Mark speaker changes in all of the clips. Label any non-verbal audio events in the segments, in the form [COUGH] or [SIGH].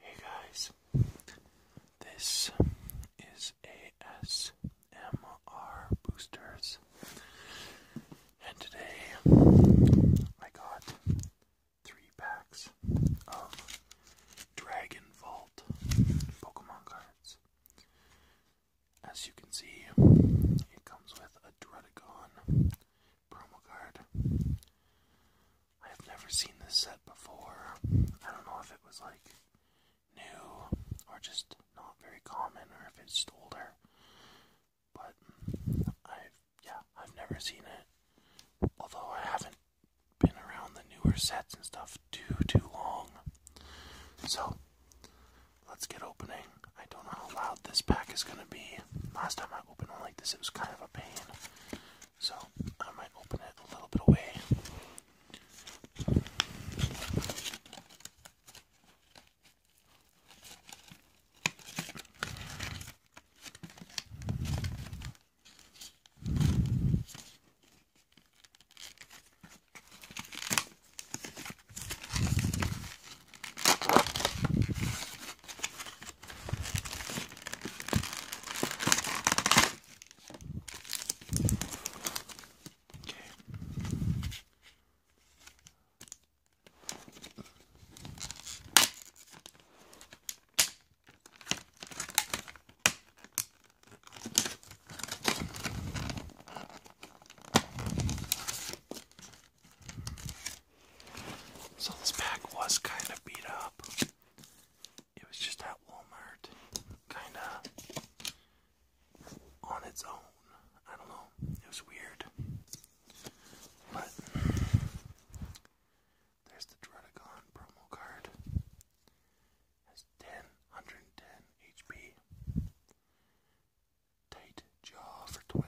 Speaker 1: Hey guys, this is ASMR Boosters, and today I got three packs of Dragon Vault Pokemon cards. As you can see, it comes with a Dredagon, promo card. I have never seen this set before. I don't know if it was like new or just not very common or if it's older. But I've yeah, I've never seen it. Although I haven't been around the newer sets and stuff too too long. So let's get opening. I don't know how loud this pack is gonna be. Last time I opened one like this it was kind of a pain. So I might open it a little bit away. Okay. So this pack was kind of beat up. It was just at Walmart, kind of on its own. I don't know. It was weird. But there's the Dredagon promo card. Has 10, HP. Tight jaw for 20.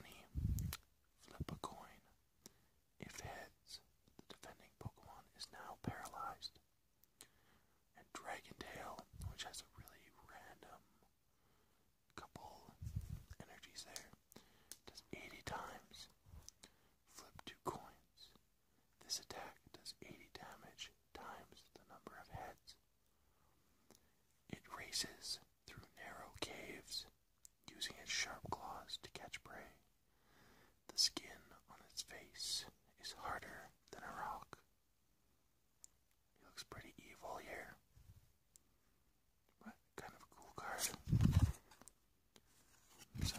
Speaker 1: Flip a coin. If heads, the defending Pokemon is now paralyzed. And Dragontail, which has a really random couple energies there, does 80 times. Flip two coins. This attack does 80 damage times the number of heads. It races through narrow caves using its sharp claws to catch prey. The skin on its face is harder than a rock. He looks pretty evil here. But kind of a cool card. So, it's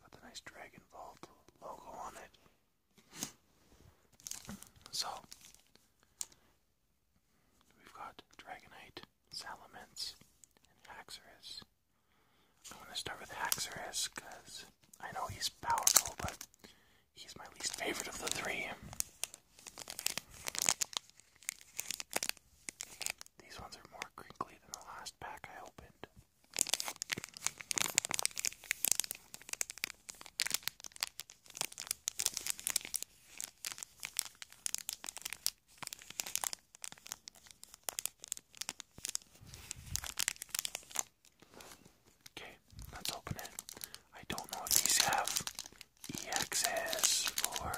Speaker 1: got the nice Dragon Vault logo on it. So, we've got Dragonite, Salamence, and Haxorus. I'm gonna start with Haxorus because I know he's powerful, but he's my least favorite of the three. These ones are more crinkly than the last pack I opened. Okay, let's open it. I don't know if these have exes or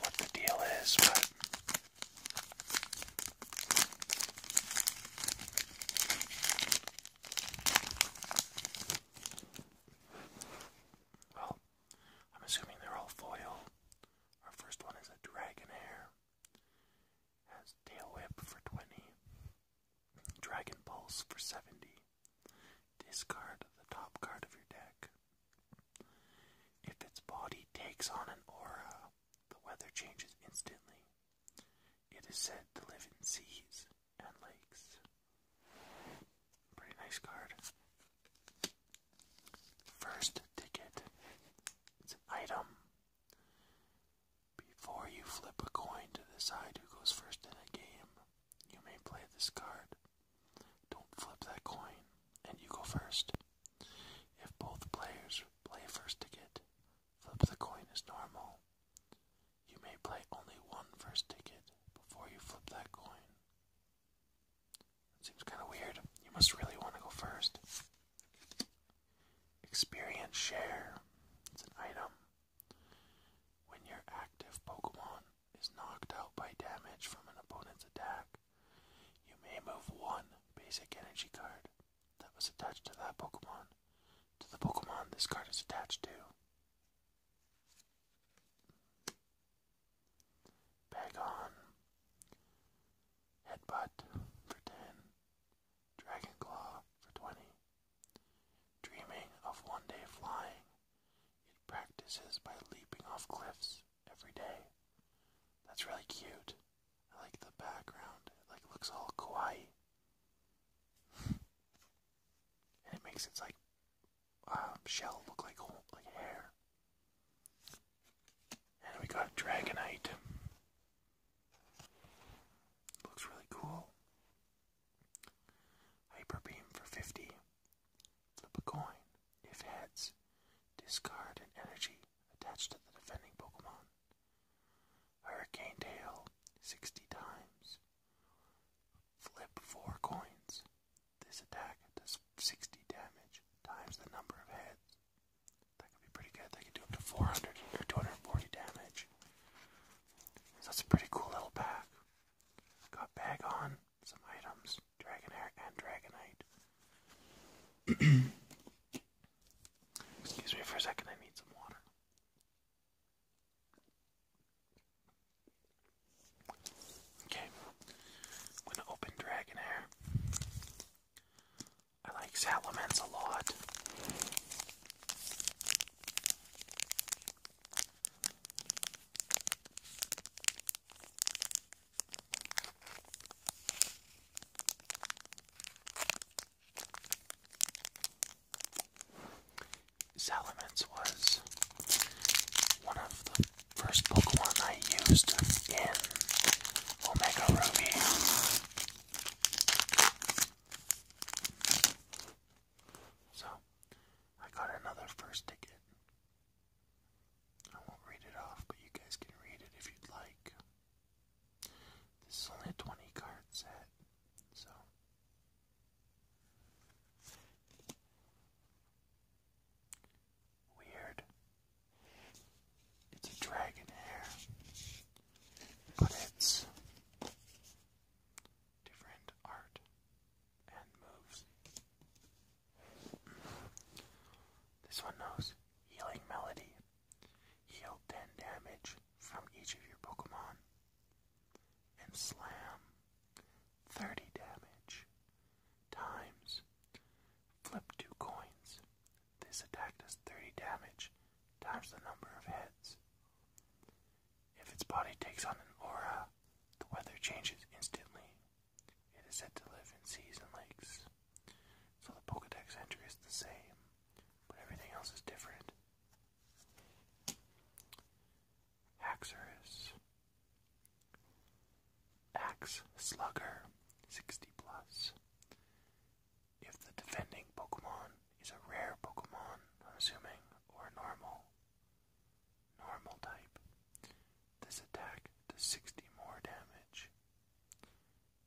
Speaker 1: what the deal is, but. Well, I'm assuming they're all foil. Our first one is a dragon hair. Has tail whip for 20. Dragon pulse for 70. Discard the top card of your deck. If its body takes on an aura, the weather changes instantly. It is said to live in seas and lakes. Pretty nice card. First ticket. It's an item. Before you flip a coin to decide who goes first in a game, you may play this card. Don't flip that coin, and you go first. If both players play first ticket, flip the coin as normal. You may play only one first ticket before you flip that coin seems kind of weird. You must really want to go first. Experience share. It's an item. When your active Pokemon is knocked out by damage from an opponent's attack, you may move one basic energy card that was attached to that Pokemon to the Pokemon this card is attached to. Bag on. Headbutt for 10. Dragon Claw for 20. Dreaming of one day flying, it practices by leaping off cliffs every day. That's really cute. I like the background. It like looks all kawaii. [LAUGHS] and it makes its like uh, shell look like like hair. And we got Dragonite. Looks really cool. Hyper Beam for 50. Flip a coin. If heads, discard an energy attached to the defending Pokemon. Hurricane Tail 60 times. Flip 4 coins. This attack does 60 damage times the number of heads. That could be pretty good. They could do up to 400 or 240 damage. that's a pretty cool little pack. Got bag on, some items, Dragonair and Dragonite. [CLEARS THROAT] Excuse me for a second, I need some water. Okay, I'm gonna open Dragonair. I like Salamence a lot. Salamence was one of the first Pokemon I used in Omega Ruby. So, I got another first ticket. I won't read it off, but you guys can read it if you'd like. This is only a 20 card set, so. Weird. It's a dragon hair, but it's different art and moves. This one knows Healing Melody. Heal 10 damage from each of your Pokemon and slam 30 damage times. Flip two coins. This attack does 30 damage times the number of heads. If its body takes on an aura, the weather changes instantly. It is said to live in seas and lakes. So the Pokedex entry is the same, but everything else is different. Haxorus Axe Slugger, 60 plus. If the defending Pokemon is a rare Pokemon, assuming, or normal, normal type, this attack does 60 more damage.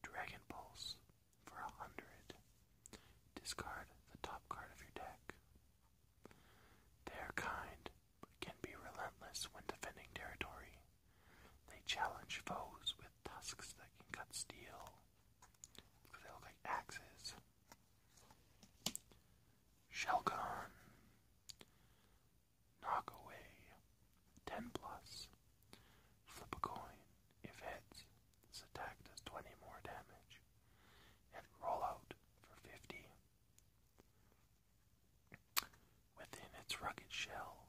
Speaker 1: Dragon Pulse for 100. Discard the top card of your deck. They kind can be relentless when defending territory. They challenge foes with tusks that can cut steel. They look like axes. Shelgon. Knock away. 10 plus. Flip a coin. If heads, this attack does 20 more damage. And roll out for 50. Within its rugged shell,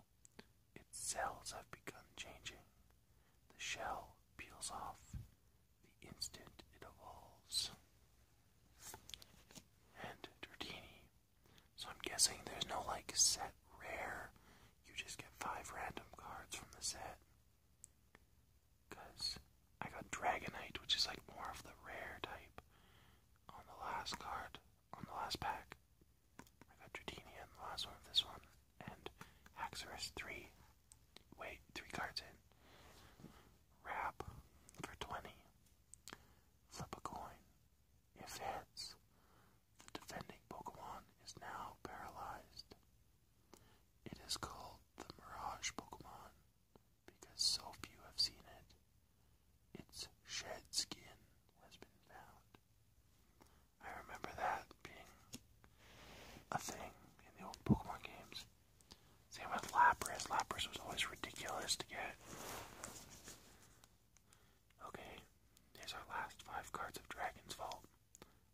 Speaker 1: its cells have begun changing. The shell peels off the instant it evolves. And Dratini. So I'm guessing there's no like set rare. You just get five random cards from the set. Cause I got Dragonite, which is like more of the rare type on the last card on the last pack. I got Dratini on the last one of this one, and Haxorus 3. Wait, 3 cards in. Wrap for 20. Flip a coin. If heads, the defending Pokemon is now paralyzed. It is called the Mirage Pokemon because so few have seen it. Its shed skin has been found. I remember that being a thing in the old Pokemon games. Same with Lapras. Lapras was always ridiculous to get. Okay, here's our last five cards of Dragon's Vault.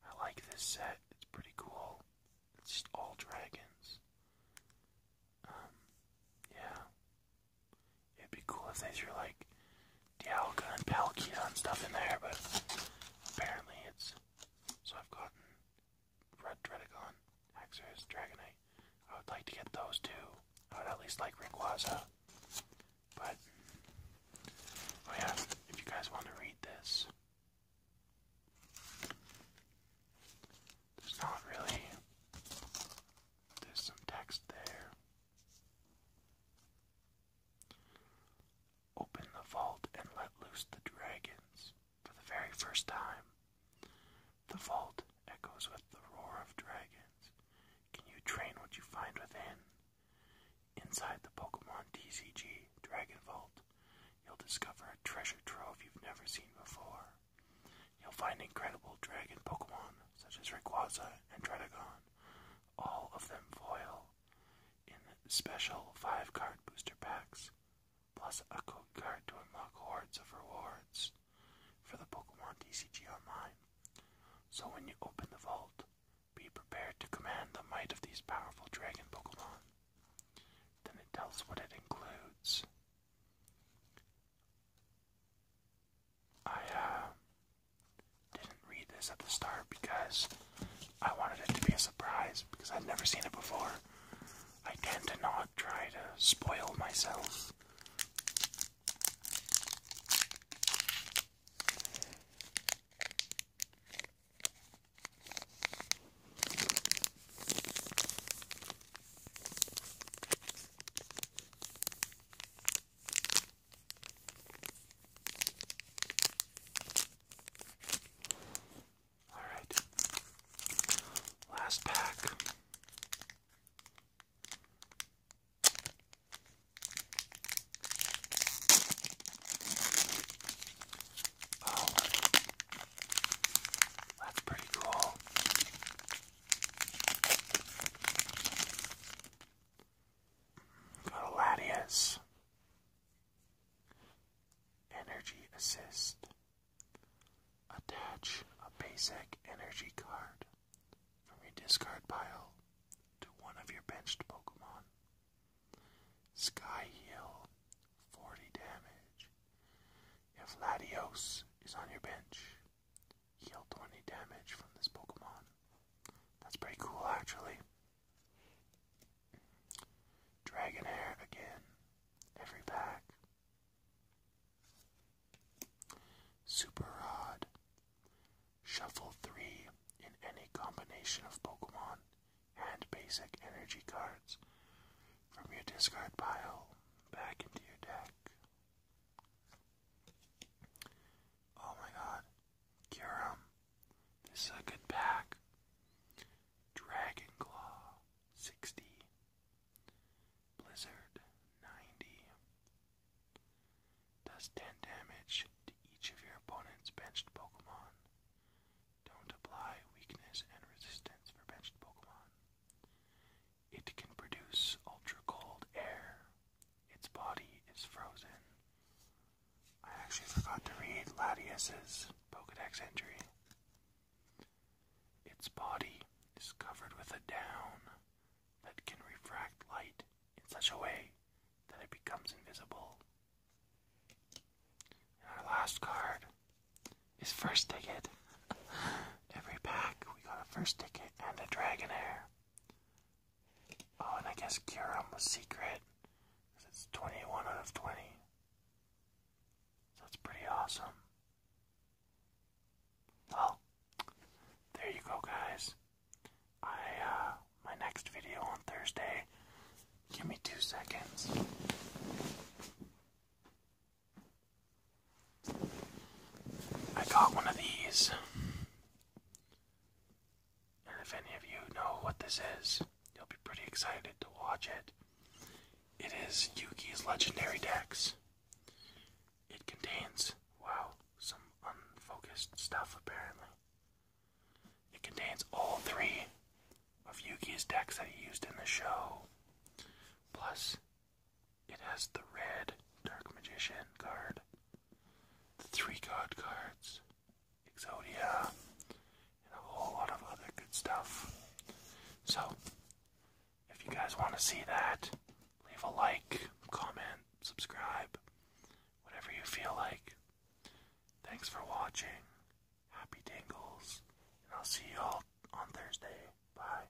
Speaker 1: I like this set, it's pretty cool. It's just all dragons. Um, yeah. It'd be cool if they threw like Dialga and Palkia and stuff in there, but apparently it's. So I've gotten Red Dredagon, Haxorus, Dragonite. I would like to get those two. I would at least like Rayquaza. But, oh yeah, if you guys want to read this, there's not really. There's some text there. Open the vault and let loose the dragons for the very first time. The vault echoes with the roar of dragons. Can you train what you find within? Inside the Pokemon TCG Dragon Vault, you'll discover a treasure trove you've never seen before. You'll find incredible dragon Pokemon such as Rayquaza and Dredagon, all of them foil, in special 5 card booster packs, plus a code card to unlock hordes of rewards for the Pokemon DCG Online. So when you open the vault, be prepared to command the might of these powerful dragon Pokemon. Then it tells what it includes. I uh, didn't read this at the start because I wanted it to be a surprise because i have never seen it before. I tend to not try to spoil myself. All right. Last pack. Oh. That's pretty cool. Got Latias. Energy assist. Attach a basic energy card from your discard pile to one of your benched Pokemon. Sky Heal 40 damage. If Latios is on your bench, heal 20 damage from this Pokemon. That's pretty cool, actually. Dragonair again, every pack. Super Rod. Shuffle 3 in any combination of Pokemon and basic energy cards from your discard pile back into your deck. Oh my god. Kyurem. This is a good pack. Dragon Claw 60. Blizzard 90. Does 10 damage to each of your opponent's benched Pokemon. Don't apply weakness and resistance for benched Pokemon. It can produce ultra cold air. Its body is frozen. I actually forgot to read Latius's Pokedex entry. Its body is covered with a down that can refract light in such a way that it becomes invisible. our last card is First Ticket. [LAUGHS] Every pack, we got a first ticket and a dragon Dragonair. Oh, and I guess Kyurem was secret, because it's 21 out of 20. So that's pretty awesome. Well, there you go, guys. I, uh, my next video on Thursday. Give me two seconds. I got one of these. And if any of you know what this is, you'll be pretty excited to watch it. It is Yugi's Legendary decks. It contains, wow, some unfocused stuff apparently. It contains all three of Yugi's decks that he used in the show, plus it has the red Dark Magician card, the three card cards, Exodia, and a whole lot of other good stuff. So, if you guys want to see that, leave a like, comment, subscribe, whatever you feel like. Thanks for watching. Happy tingles, and I'll see you all on Thursday. Bye.